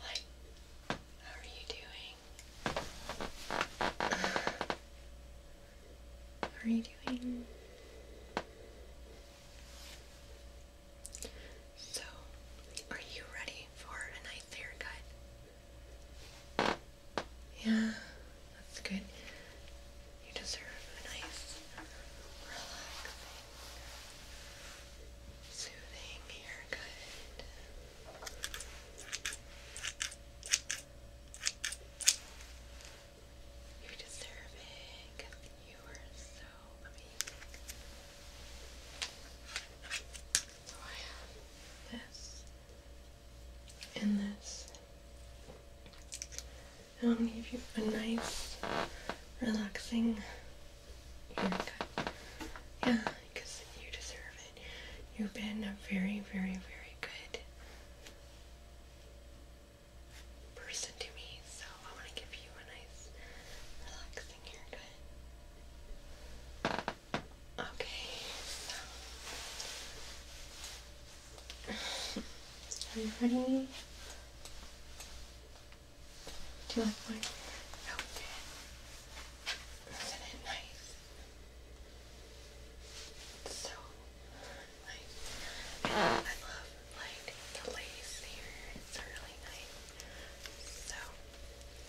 Hi. How are you doing? How are you doing? So, are you ready for a nice haircut? Yeah, that's good. You deserve a nice, relaxing soothing haircut. You're deserving. You are so amazing. So I have this and this. I'll give you a nice, relaxing haircut. Yeah, because you deserve it. You've been a very, very, very good person to me, so I want to give you a nice, relaxing haircut. Okay, Are you ready? Do you like my Isn't it nice? It's so nice. I love like the lace here. It's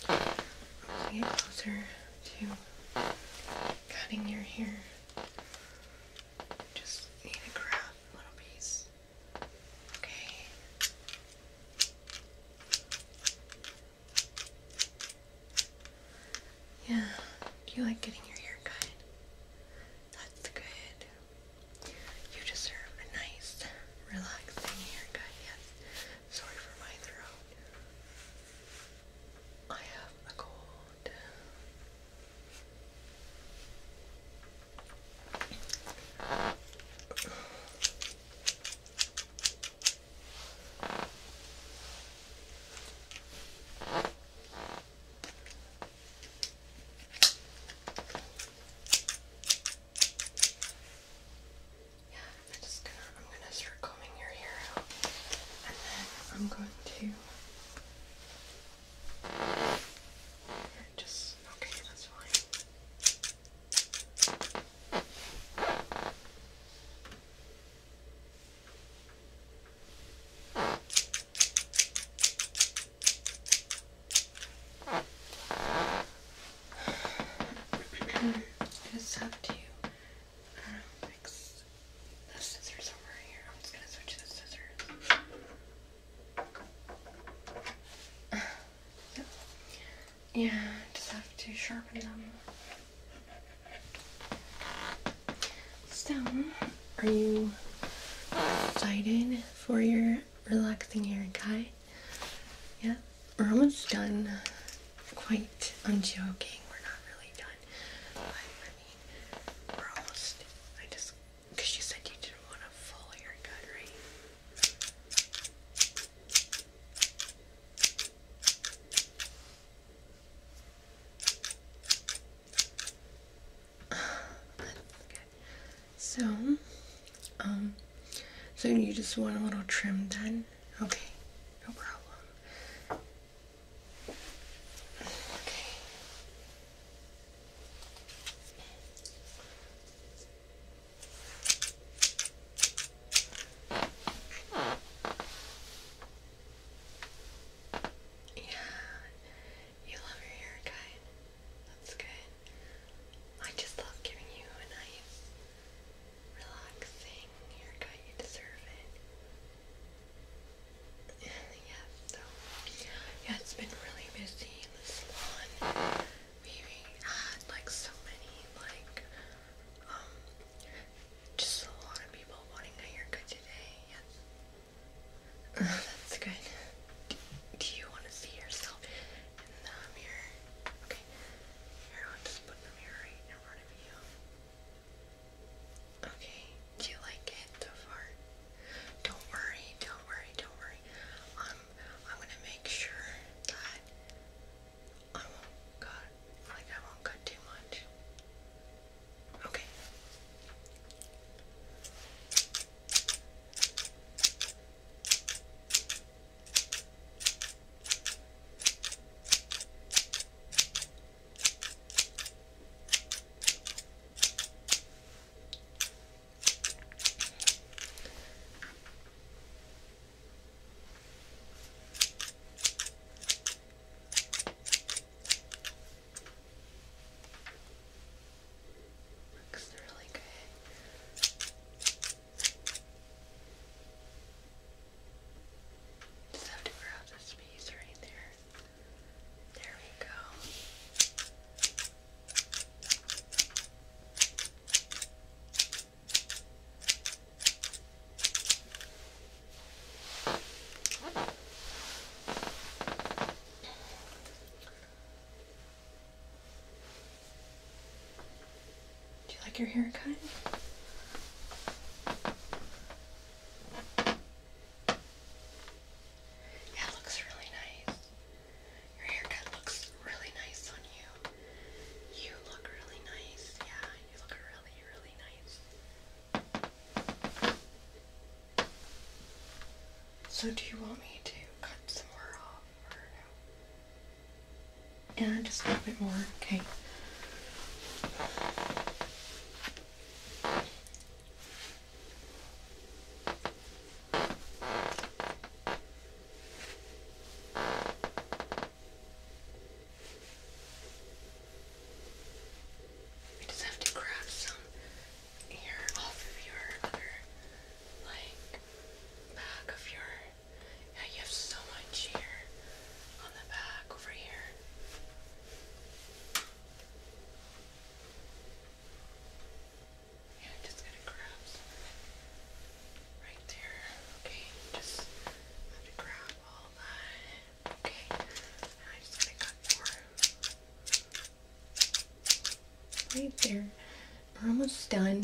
really nice. So get closer to cutting your hair. Just need to grab a little piece. Okay. Yeah, do you like getting your hair cut? That's good. You deserve a nice, relaxing haircut, yes. Sorry for my throat. I have a cold. Yeah, I'm just gonna I'm gonna start combing your hair out and then I'm going to just okay, that's fine. just have to um, mix scissors over here. I'm just gonna switch the scissors. Yeah, just have to sharpen them. So, are you excited for your relaxing haircut? Yeah, we're almost done. Quite, I'm joking. We're not really done. But, I mean, we're almost. I just because you said you didn't want a full haircut, right? okay. So, um, so you just want a little trim done? Okay, no problem. Okay. Yeah, you love your haircut. That's good. I just love giving you a nice, relaxing haircut. You deserve it yeah, it's been really busy in the salon. We had like so many like um just a lot of people wanting a haircut today. that's good. do you want to see yourself in the mirror? Okay. Here, I'll just put the mirror right in front of you. Okay, do you like it so far? Don't worry, don't worry, don't worry. Um, I'm gonna make sure that I won't cut, like I won't cut too much. Okay. Looks really good. Just have to grab this piece right there. There we go. Do you like your haircut? it looks really nice. Your haircut looks really nice on you. You look really nice. Yeah, you look really, really nice. So, do you want me to cut some more off or no? Yeah, just a little bit more. Okay. We just have to grab some air off of your other, like, back of your. Yeah, you have so much hair on the back over here. Yeah, just gonna grab right there. Okay, just have to grab all that. Okay, now I just gotta cut more. Right there. We're almost done.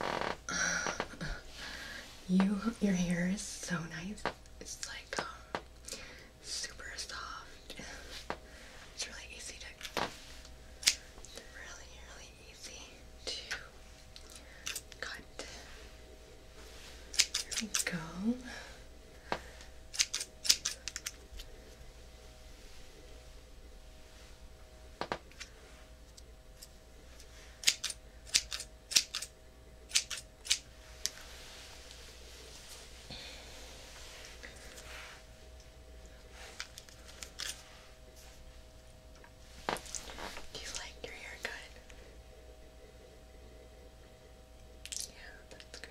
You, your hair is so nice. It's like um, super soft. It's really easy to, really, really easy to cut. There we go. Do you like your haircut? Yeah, that's good.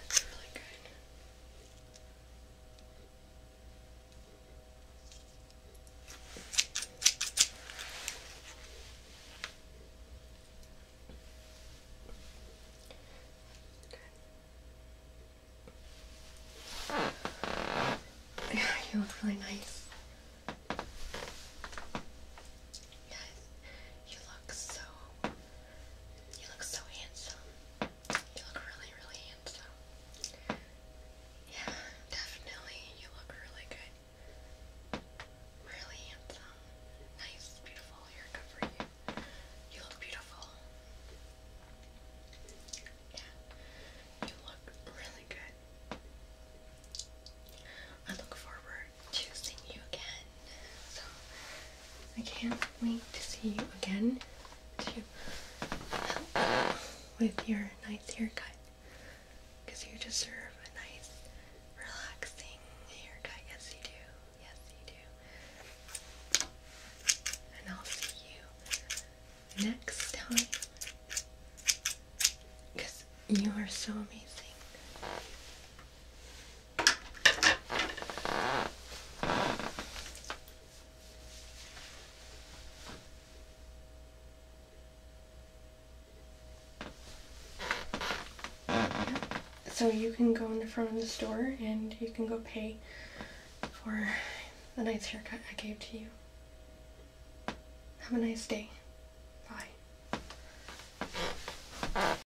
That's really good. Okay. you look really nice. Yes, you look so you look so handsome. You look really, really handsome. Yeah, definitely. You look really good. Really handsome. Nice, beautiful haircut for you. You look beautiful. Yeah, you look really good. I look forward to seeing you again so I can't wait to see you again to help with your nice haircut because you deserve a nice, relaxing haircut. Yes, you do. Yes, you do. And I'll see you next time because you are so amazing. So you can go in the front of the store and you can go pay for the nice haircut I gave to you. Have a nice day. Bye.